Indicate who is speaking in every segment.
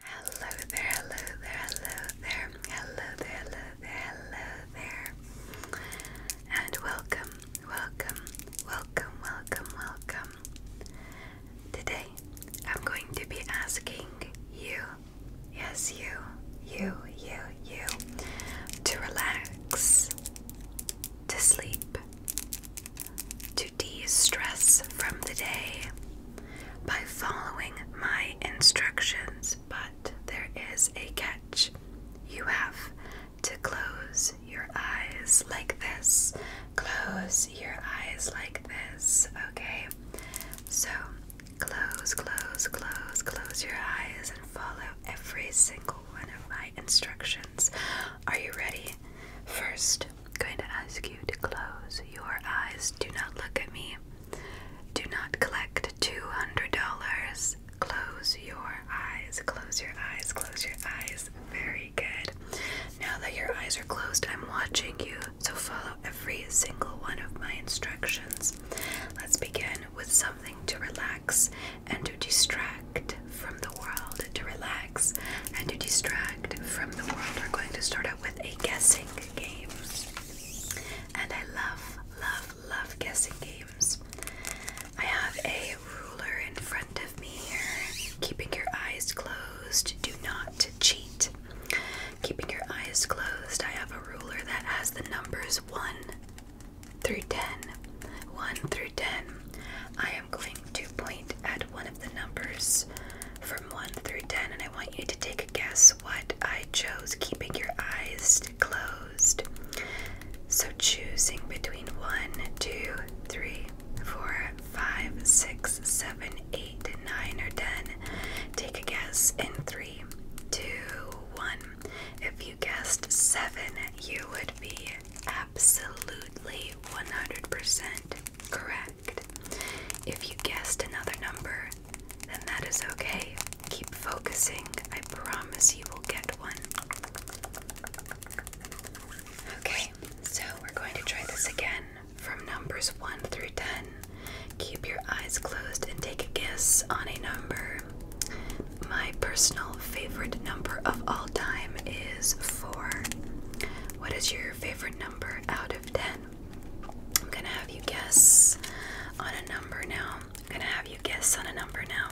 Speaker 1: Hello there, hello there, hello there, hello there, hello there, hello there. And welcome, welcome, welcome, welcome, welcome. Today I'm going to be asking you, yes, you, you, you, you, to relax, to sleep, to de stress from the day by following my instructions, but there is a catch. You have to close your eyes like this. Close your eyes like this, okay? So close, close, close, close your eyes and follow every single one of my instructions. Are you ready? First, going to ask you to close your eyes. Do not look at me. Do not collect $200. Close your eyes. Close your eyes. Close your eyes. Very good. Now that your eyes are closed, I'm watching you, so follow every single one of my instructions. Let's begin with something to relax and to distract from the world, and to relax and to distract from the world, we're going to start out with a guessing game. And I love, love, love guessing games. I have a ruler in front of me here, keeping your eyes closed. Do not cheat. Keeping your eyes closed, I have a ruler that has the numbers 1 through 10. 1 through 10. I am going to point at one of the numbers from 1 through 10, and I want you to take a guess what I chose, keeping your eyes closed. So, choosing between 1, 2, 3, 4, 5, 6, 7, 8, 9, or 10. Take a guess in 3, 2, 1. If you guessed 7, you would be absolutely 100% Correct. If you guessed another number, then that is okay. Keep focusing. I promise you will get one. Okay, so we're going to try this again from numbers 1 through 10. Keep your eyes closed and take a guess on a number. My personal favorite number of all time is 4. What is your your favorite number out of 10. I'm gonna have you guess on a number now. I'm gonna have you guess on a number now.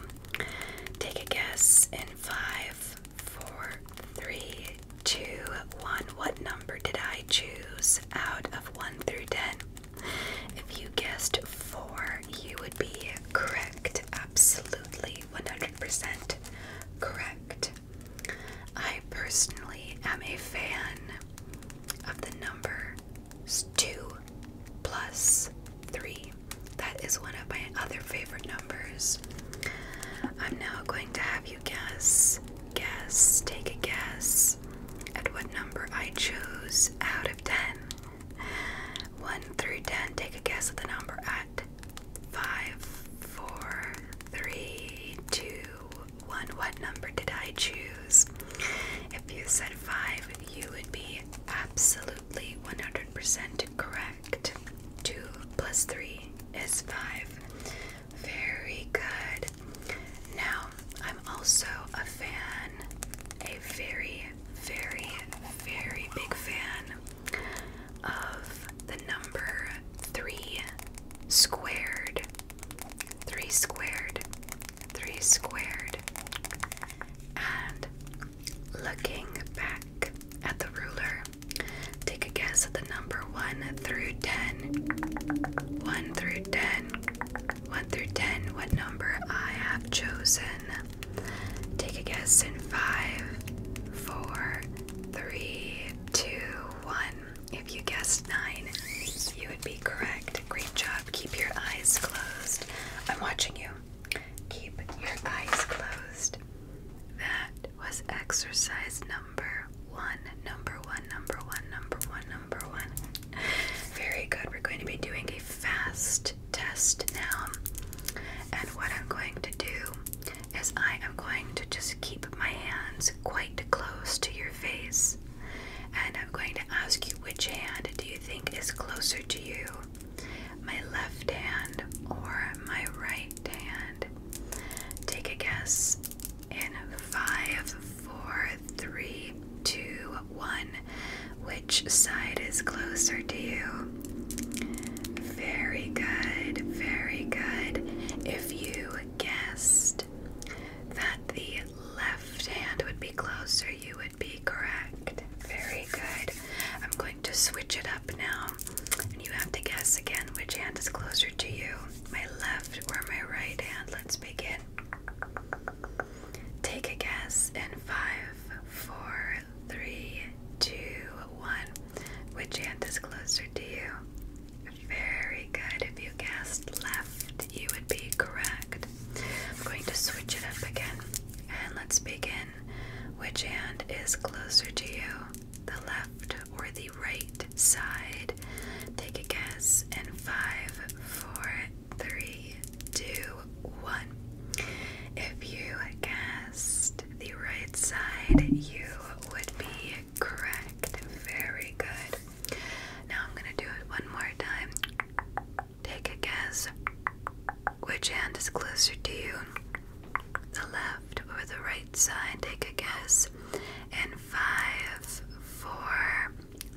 Speaker 1: Take a guess in five, four, three, two, one. What number did I choose out of one through ten? If you guessed four, you would be correct. Absolutely 100% correct. I personally am a fan of the number 2 plus 3. That is one of my other favorite numbers. I'm now going to have you guess, guess, take a guess at what number I chose out of 10. 1 through 10, take a guess at the number I, five, four, three, two, one. What number did I choose? If you said five, you would be absolutely 100% correct. Two plus three is five. Very good. Now, I'm also a fan, a very, very, very big fan of the number 3 squared. 3 squared. 3 squared. And looking back at the ruler, take a guess at the number 1 through 10. 1 through 10. 1 through 10, what number I have chosen. Take a guess in 5, 4, 3, two, one. If you guessed nine, you would be correct. Great job. Keep your eyes closed. I'm watching you. Keep your eyes closed. That was exercise number one, number one, number one, number one, number one. Very good. We're going to be doing a fast test now. And what I'm going to do is I am going to just keep my hands quite close to your face. And I'm going to ask you which hand do you think is closer to you? My left hand or my right hand? Take a guess in five, four, three, two, one. Which side is closer to you? Very good, very good. If you guessed that the left hand would be closer, you would be correct. Very good. I'm going to switch it up now, and you have to guess again which hand is closer to you my left or my right hand. Let's begin. Take a guess in five, four, three, two, one. Which hand is closer to you? Very good. If you guessed left, you would be correct. I'm going to switch it up again. And let's begin. Which hand is closer to you? The left or the right side? Take a guess in five, four, three, two, one. If you guessed the right side, you would be correct. Very good. Now I'm going to do it one more time. Take a guess. Which hand is closer to you? The left or the right side? Take a guess. And five, four,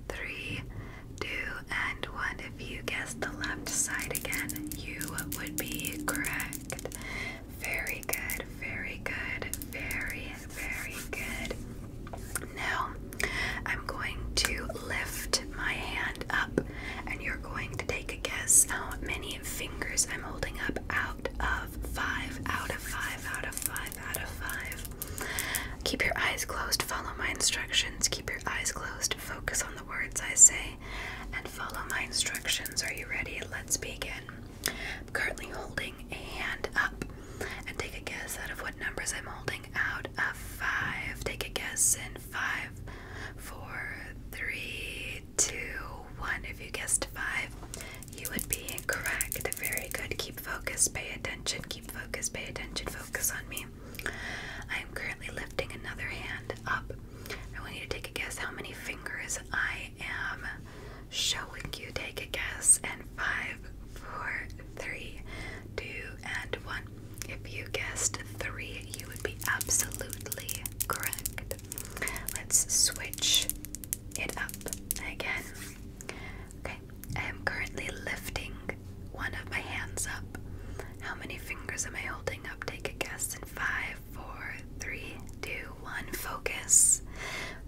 Speaker 1: three, two, and one. If you guess the left side again, you would be correct. Very good, very good, very, very good. Now, I'm going to lift my hand up, and you're going to take a guess how many fingers I'm holding up out of five, out of five, out of five, out of five. Keep your eyes closed, follow my instructions, keep your eyes closed, focus on the words I say and follow my instructions. Are you ready? Let's begin. I'm currently holding a hand up and take a guess out of what numbers I'm holding out of five. Take a guess in five, four, three, two, one. If you guessed five, you would be incorrect. Very good. Keep focus, pay attention, keep focus, pay attention, focus on me. I am currently lifting another hand up I want you to take a guess how many fingers I am showing you. Take a guess. And five, four, three, two, and one. If you guessed three, you would be absolutely correct. Let's switch it up again. Okay, I am currently lifting one of my hands up. How many fingers am I holding up? Take a guess in five, four, three, two, one. Focus.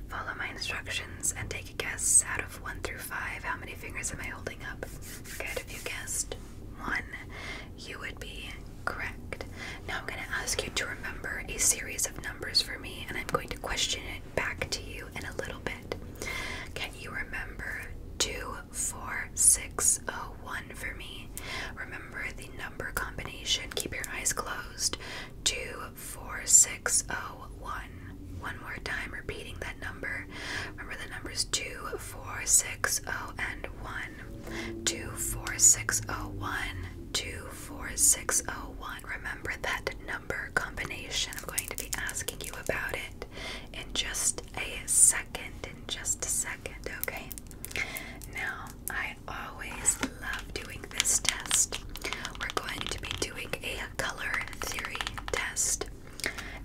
Speaker 1: Follow my instructions and take a guess out of one through five. How many fingers am I holding up? Good. If you guessed one, you would be correct. Now I'm going to ask you to remember a series of numbers for me, and I'm going to question it back to you in a little bit. Can you remember two, four, six, oh? one for me. Remember the number combination. Keep your eyes closed. 24601. One more time, repeating that number. Remember the numbers 2460 and 1. 24601. 24601. Remember that number combination. I'm going to be asking you about it in just a second. In just a second, okay? Now, I always love doing this test. We're going to be doing a color theory test.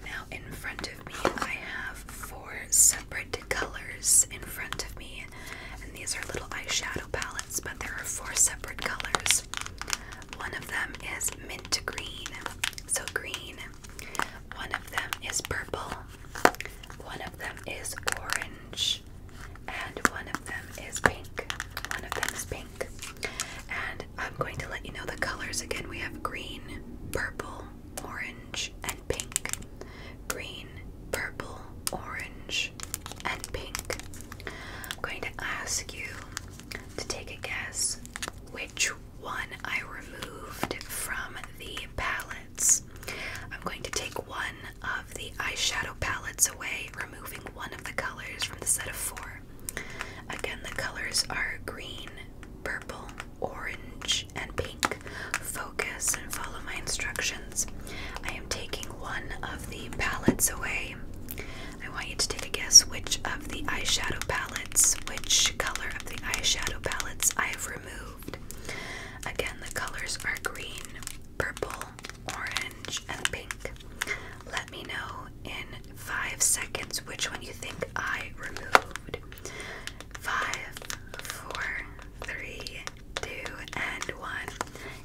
Speaker 1: Now, in front of me, I have four separate colors in front of me, and these are little eyeshadow palettes, but there are four separate colors. One of them is mint green, so green. One of them is purple, one of them is orange, and one of them is pink. One of them is pink. And I'm going to let you know the colors again. We have green, purple, orange, and pink. Green, purple, orange, and pink. I'm going to ask you to take a guess which one I removed from the palette. I'm going to take one of the eyeshadow palettes away, removing one of the colors from the set of four. Again, the colors are green, purple, orange, and pink. Focus and follow my instructions. I am taking one of the palettes away. I want you to take a guess which of the eyeshadow palettes, which color of the eyeshadow palettes I have removed. Again, the colors are green, purple, orange, and pink. Let me know in five seconds which one you think I removed. Five, four, three, two, and one.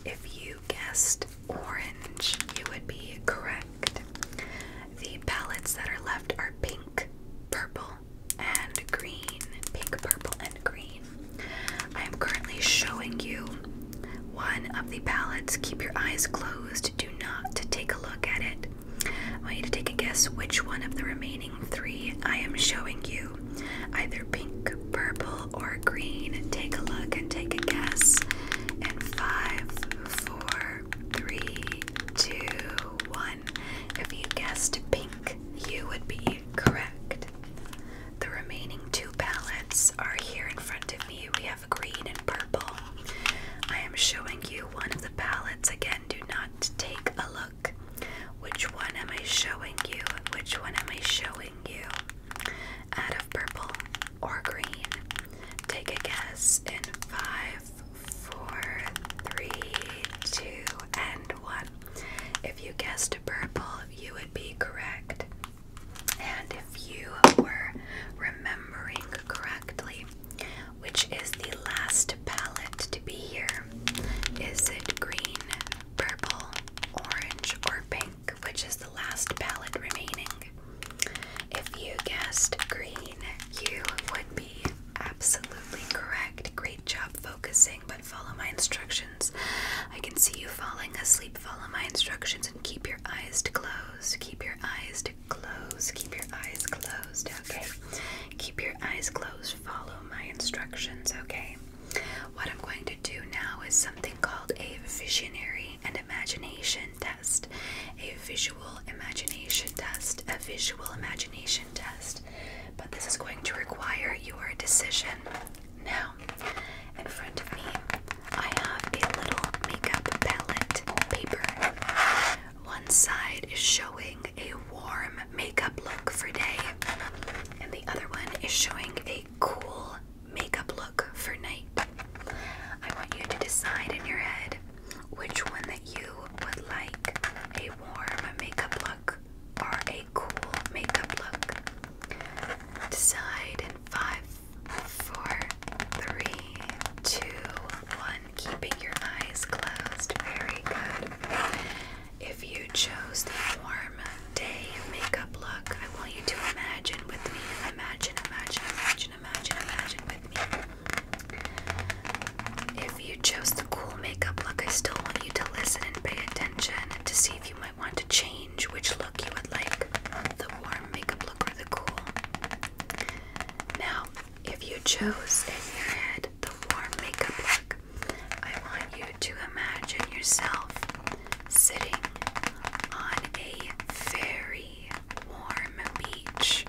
Speaker 1: If you guessed orange, you would be correct. The palettes that are left are pink, purple, and green, pink, purple, and green. I am currently showing you one of the palettes. Keep your eyes closed. Do not take a look at it. I want you to take a guess which one of the remaining three I am showing you. Either pink, purple, or green. Take a look and take a guess. And five, four, three, two, one. If you guessed pink, you would be correct. The remaining two palettes are here in front of me. We have green and purple. I am showing you one of the palettes. Again, do not take a look. Which one am I showing you? Which one am I showing you? Out of purple or green? Take a guess in five, four, three, two, and one. If you guessed purple, you would be correct. And if you were remembering correctly, which is the last palette to be here? Is it green, purple, orange, or pink? Which is the last palette remaining? If you guessed green, you would be Absolutely correct. Great job focusing, but follow my instructions. I can see you falling asleep. Follow my instructions and keep your eyes to close. Keep your eyes to close. Keep your eyes closed. Okay. Keep your eyes closed. Follow my instructions. Okay. What I'm going to do now is something called a visionary and imagination test. A visual visual imagination test, a visual imagination test, but this is going to require your decision. Now, in front of me, I have a little makeup palette paper. One side is showing a warm makeup look for day, and the other one is showing a cool makeup look for night. I want you to decide in your head which one that you would like a warm makeup look or a cool makeup look. Decide in five, four, three, two, one. Keeping your eyes closed. Very good. If you chose the warm day makeup look, I want you to imagine with me. Imagine, imagine, imagine, imagine, imagine with me. If you chose the cool makeup look, I still want you to listen and pay attention to see if you might want to change which look you would like the warm makeup look or the cool. Now, if you chose in your head the warm makeup look, I want you to imagine yourself sitting on a very warm beach.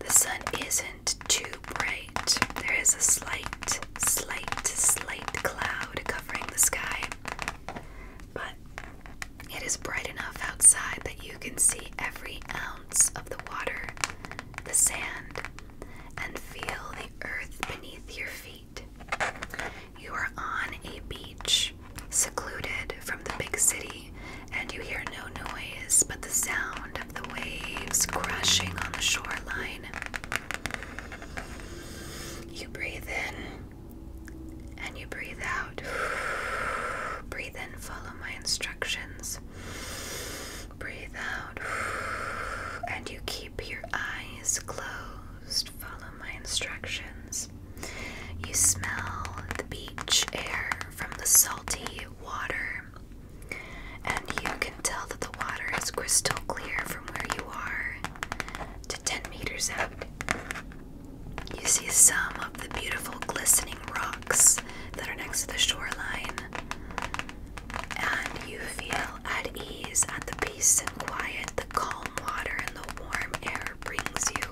Speaker 1: The sun isn't too bright. There is a slight, slight, slight cloud covering the sky, but it is bright enough outside that you can see every ounce of the water, the sand, and feel the earth beneath your feet. You are on a beach, secluded from the big city and you hear no noise but the sound of the waves crashing on the shoreline. You breathe in and you breathe out. breathe in, follow my instructions. Breathe out, and you keep your eyes closed. Follow my instructions. You smell the beach air from the salty water, and you can tell that the water is crystal clear from where you are to 10 meters out. You see some of the beautiful glistening rocks that are next to the shoreline, and you feel at ease at the peace and quiet the calm water and the warm air brings you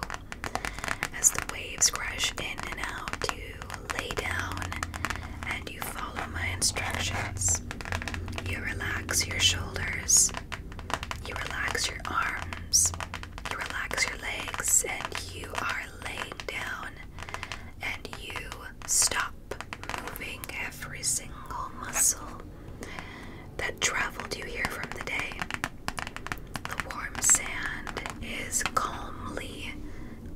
Speaker 1: as the waves crash in and out. to lay down and you follow my instructions. You relax your shoulders, you relax your arms, you relax your legs, and you are laying down and you stop moving every single muscle that traveled you here from the day. The warm sand is calmly,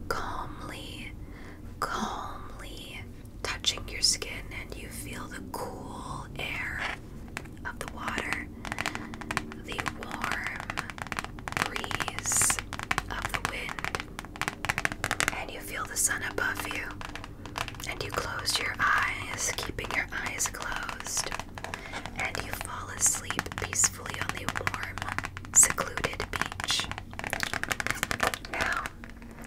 Speaker 1: calmly, calmly touching your skin, and you feel the cool air of the water, the warm breeze of the wind, and you feel the sun above you. And you close your eyes, keeping your eyes closed and you fall asleep peacefully on the warm, secluded beach. Now,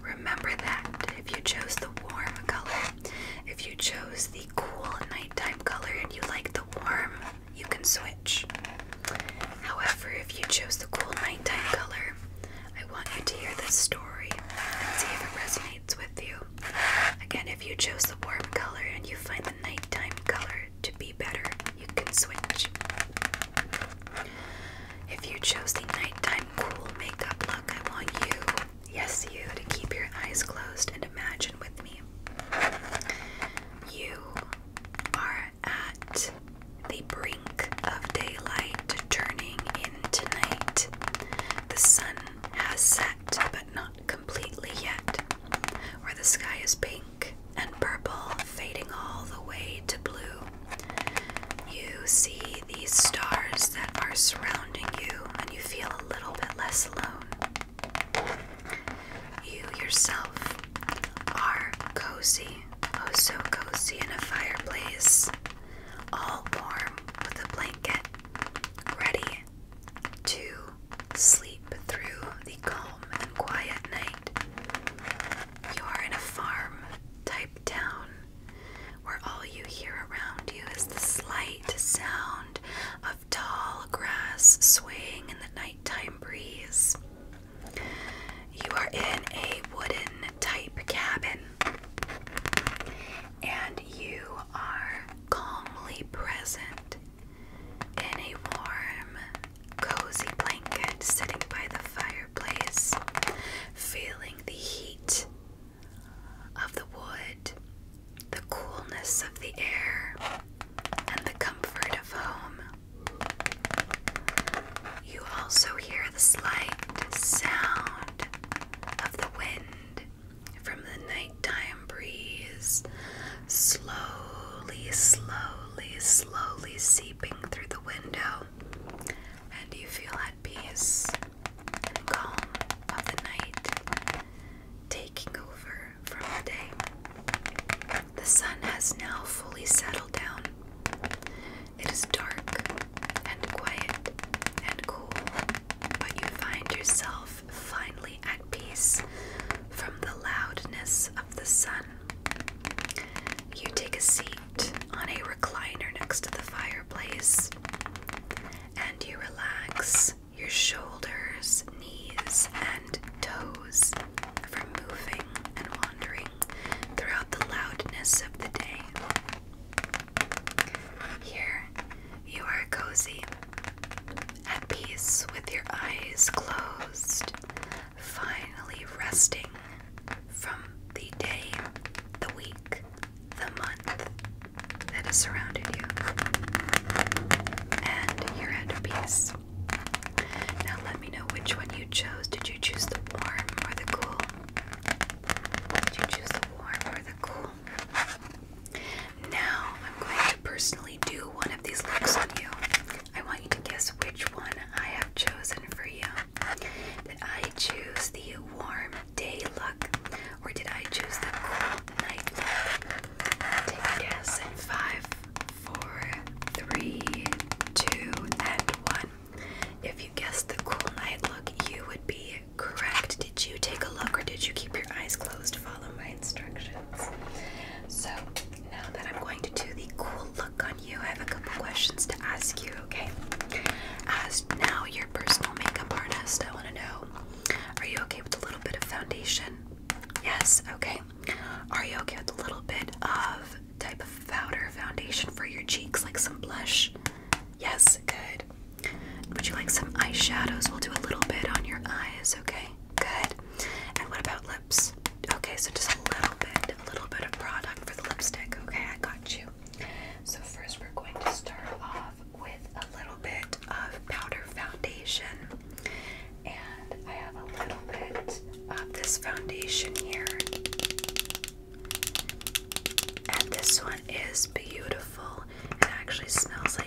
Speaker 1: remember that if you chose the warm color, if you chose the cool nighttime color and you like the warm, you can switch. However, if you chose the cool nighttime color, I want you to hear this story and see if it resonates with you. Again, if you chose the warm color and you find the nighttime color to be better, you can switch. If you chose the nighttime cool makeup look, I want you, yes, you, to keep your eyes closed and imagine with me. You are at the brink of daylight turning into night. The sun has set, but not completely yet, where the sky is pink and purple, fading all the way to blue. You see these stars that are surrounding you, and you feel a little bit less alone. You yourself are cozy, oh so cozy in a fireplace, all warm with a blanket, ready to sleep through the calm and quiet night. You are in a farm type town where all you hear around you is the slight sound of tall grass swaying in the nighttime breeze. You are in a wooden type cabin and you are calmly present in a warm, cozy blanket, sitting by the fireplace, feeling the heat of the wood, the coolness of the air, and the comfort of home. You also hear the slight sound of the wind from the nighttime breeze, slowly, slowly, slowly seeping through the window, and you feel at peace and calm of the night taking over from the day. The sun has now fully settled down. It is dark and quiet and cool, but you find yourself finally at peace from the loudness of the sun. You take a seat on a recliner next to the fireplace and you relax your shoulders, knees, and toes from moving and wandering throughout the loudness of the day. Here you are cozy, at peace with your eyes closed, finally resting from the day, the week, the month that has surrounded you. And you're at peace. Now let me know which one you chose. Did you choose the warm or the cool? Did you choose the warm or the cool? Now I'm going to personally do one of these looks on you. I want you to guess which one I have chosen for you. Did I choose the warm day look or did I choose the cool night look? Take a guess in five, four, three, two, and one. If you guessed the cool night look, you would be Correct. Did you take a look or did you keep your eyes closed? Follow my instructions. So, now that I'm going to do the cool look on you, I have a couple questions to ask you, okay? As now your personal makeup artist, I want to know are you okay with a little bit of foundation? Yes, okay. Are you okay with a little bit of type of powder foundation for your cheeks, like some blush? Yes, good. Would you like some eyeshadows? We'll do a little bit on your eyes, okay? Good. And what about lips? Okay, so just a little bit, a little bit of product for the lipstick. Okay, I got you. So first we're going to start off with a little bit of powder foundation. And I have a little bit of this foundation here. And this one is beautiful. It actually smells like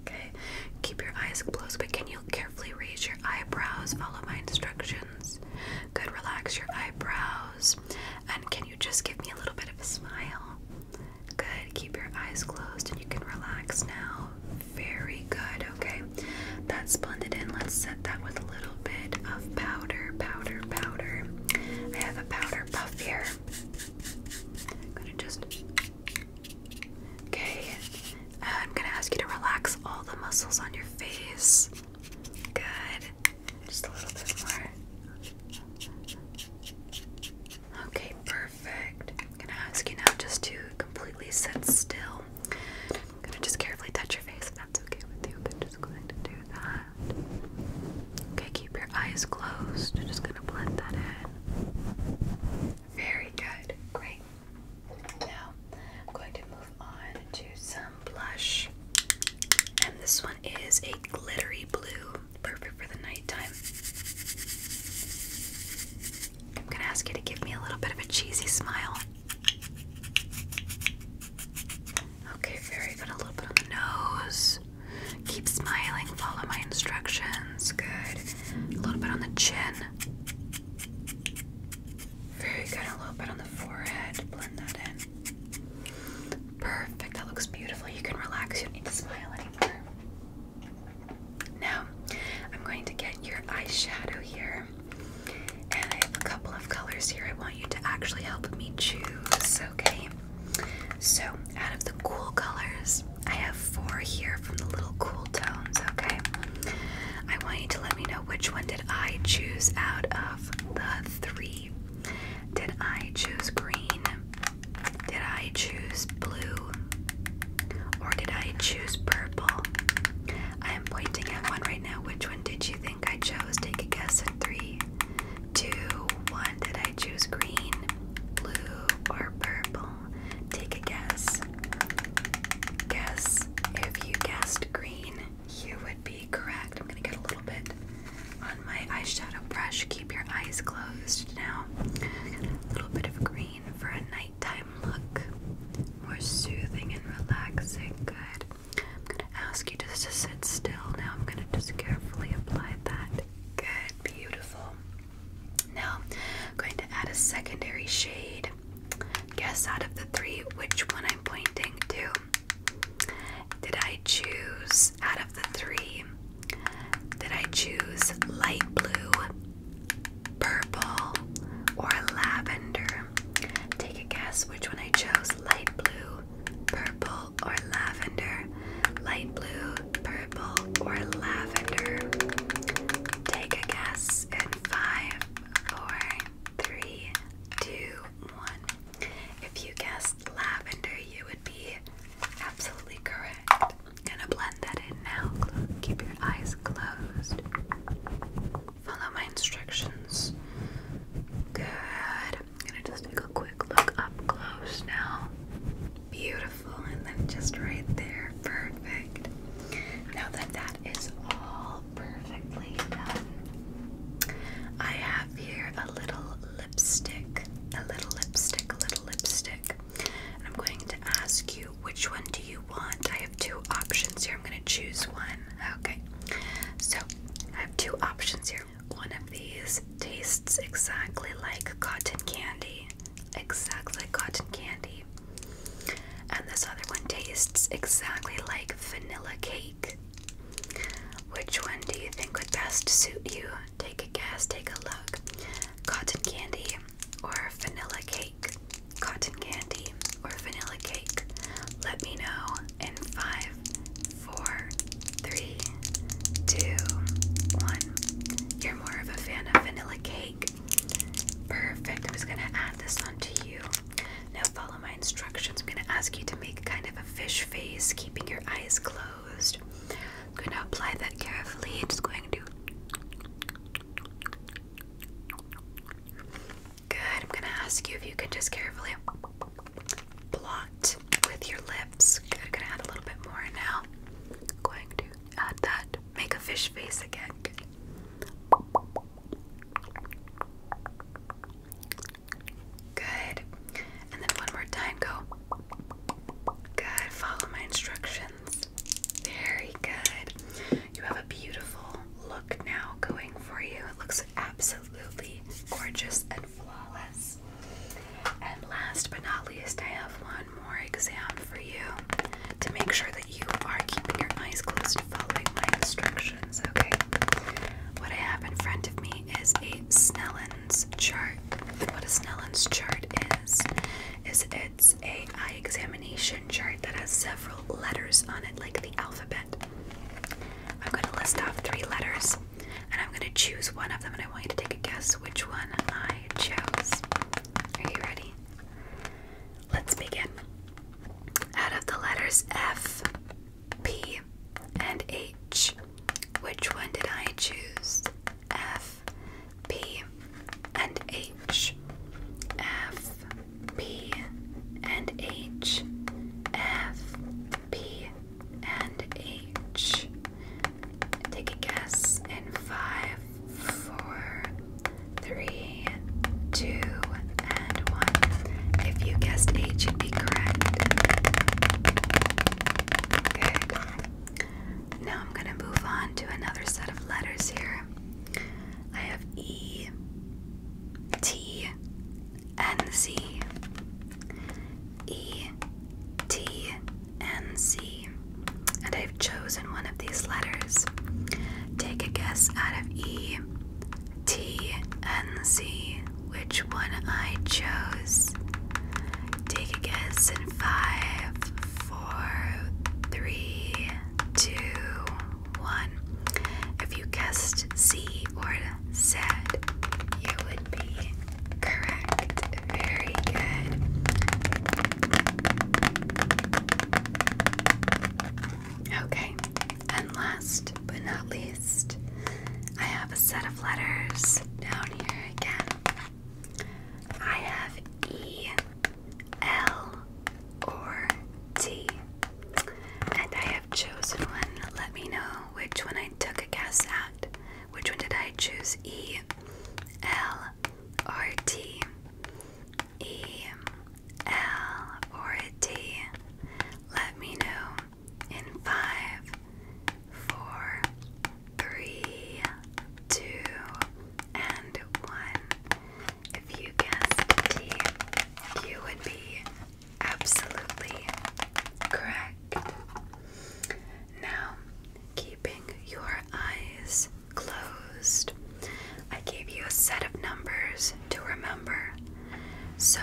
Speaker 1: Okay, keep your eyes closed, but can you carefully raise your eyebrows? Follow my instructions. Good, relax your eyebrows. And can you just give me a little bit of a smile? Good, keep your eyes closed and you can relax now. Very good, okay. That's blended in. Let's set that with a little bit of powder, powder, powder. I have a powder puff here. gonna just Okay, uh, I'm gonna ask you to relax all the muscles on your face. Good. Just a little bit more. Okay, perfect. I'm gonna ask you now just to completely sit still. I'm gonna just carefully touch your face if that's okay with you. I'm just going to do that. Okay, keep your eyes closed. just gonna blend that in. Very good. Great. Now I'm going to move on to some blush. And this one is a glittery blue. Perfect for the nighttime. I'm going to ask you to give me a little bit of a cheesy smile. Okay, very good. A little bit on the nose. Keep smiling, follow my instructions hands. Good. A little bit on the chin. Very good. A little bit on the forehead. Blend that in. Perfect. That looks beautiful. You can relax. You don't need to smile anymore. Now, I'm going to get your eyeshadow here. And I have a couple of colors here. I want you to actually help me choose, okay? So, out of the cool colors, I have four here from the little cool tones, okay? I want you to let me know which one did I choose out of the three. Did I choose green? Did I choose blue? Or did I choose purple? I am pointing at one right now. Which one did you think I chose? Take a guess in three, two, one. Did I choose green, blue, or purple? Take a guess. Guess. If you guessed green, you would be correct. I'm gonna get a little bit on my eyeshadow brush. Keep your eyes closed now. A little bit of green for a nighttime look. More soothing and relaxing. Good. I'm gonna ask you just to sit still now. I'm gonna just carefully apply that. Good, beautiful. Now, I'm going to add a secondary shade. Guess out of the three which one I'm pointing to. Did I choose out of the three? Did I choose light blue, purple, or lavender? Take a guess which one I chose light blue, purple, or lavender light blue, purple, or lavender? Take a guess in five, four, three, two, one. If you guessed lavender, you would be absolutely correct. Gonna blend that in now. Keep your eyes closed. Follow my instructions. Good. gonna just take a quick look up close now. Beautiful, and then just right there. Perfect. Now that that is all perfectly done, I have here a little lipstick. A little lipstick, a little lipstick. And I'm going to ask you which one do you want? I have two options here. I'm going to choose one. Okay. So I have two options here. One of these Tastes exactly like cotton candy. Exactly like cotton candy. And this other one tastes exactly like vanilla cake. Which one do you think would best suit you? Take a guess, take a look. Cotton candy or vanilla cake? Cotton candy or vanilla cake? Let me know in 5, 4, Three, two, one. You're more of a fan of vanilla cake. Perfect. I'm gonna add this on you. Now follow my instructions. I'm gonna ask you to make kind of a fish face, keeping your eyes closed. I'm gonna apply that carefully. Just going to Good. I'm gonna ask you if you could just carefully blot with your lips. Good, i gonna add a little bit more now. Going to add that. Make a fish face again. Good. And then one more time, go. Good. Follow my instructions. Very good. You have a beautiful look now going for you. It looks absolutely gorgeous and flawless. And last but not least, I have one more exam for you to make sure that you are keeping your eyes closed and following my instructions, okay? What I have in front of me is a Snellen's chart. What a Snellen's chart is, is it's a eye examination chart that has several letters on it, like the alphabet. I'm going to list off three letters, and I'm gonna choose one of them, and I want you to take a guess which one I chose. Are you ready? Let's begin. Out of the letters F, P, and H, which one did I choose? F, P, and H. F, P, and H. F, P, and H. Take a guess in five, four, three, two, and one. If you guessed H, you'd be correct. Good. Now I'm going to move on to another set of letters here. I have E, T, and Z. E T N C. And I've chosen one of these letters. Take a guess out of E T N C which one I chose. Take a guess in five, four, three, two, one. If you guessed C or said you would be correct. Very good. Okay, and last but not least, I have a set of letters down here again. I have E, L, or T. And I have chosen one. Let me know which one I took a guess at. Which one did I choose? E L R T. E L or T. Let me know in five, four, three, two, and one. If you guessed T, you would be absolutely correct. Now, keeping your eyes closed, I gave you a set of numbers to remember. So,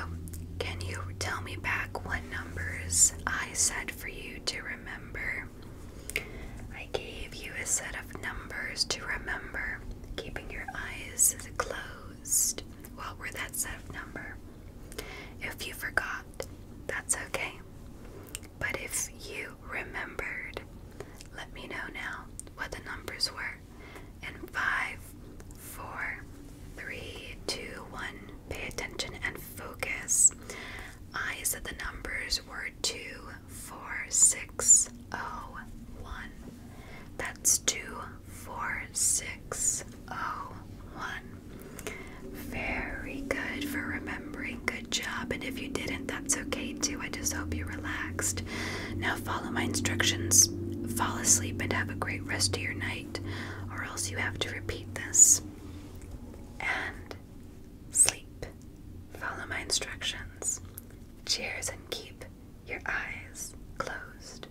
Speaker 1: can you tell me back what numbers I said for you to remember? I gave you a set of numbers to remember, keeping your eyes closed. What were that set of numbers? If you forgot, that's okay. But if you remembered, let me know now what the numbers were. And five, four, three, two, one. Pay attention and focus. I said the numbers were two, four, six, oh, one. That's two, four, six, oh, one. Very good for remembering. Good job. And if you didn't, that's okay too. I just hope you relaxed. Now follow my instructions. Fall asleep and have a great rest of your night, or else you have to repeat this. And sleep. Follow my instructions. Cheers and keep your eyes closed.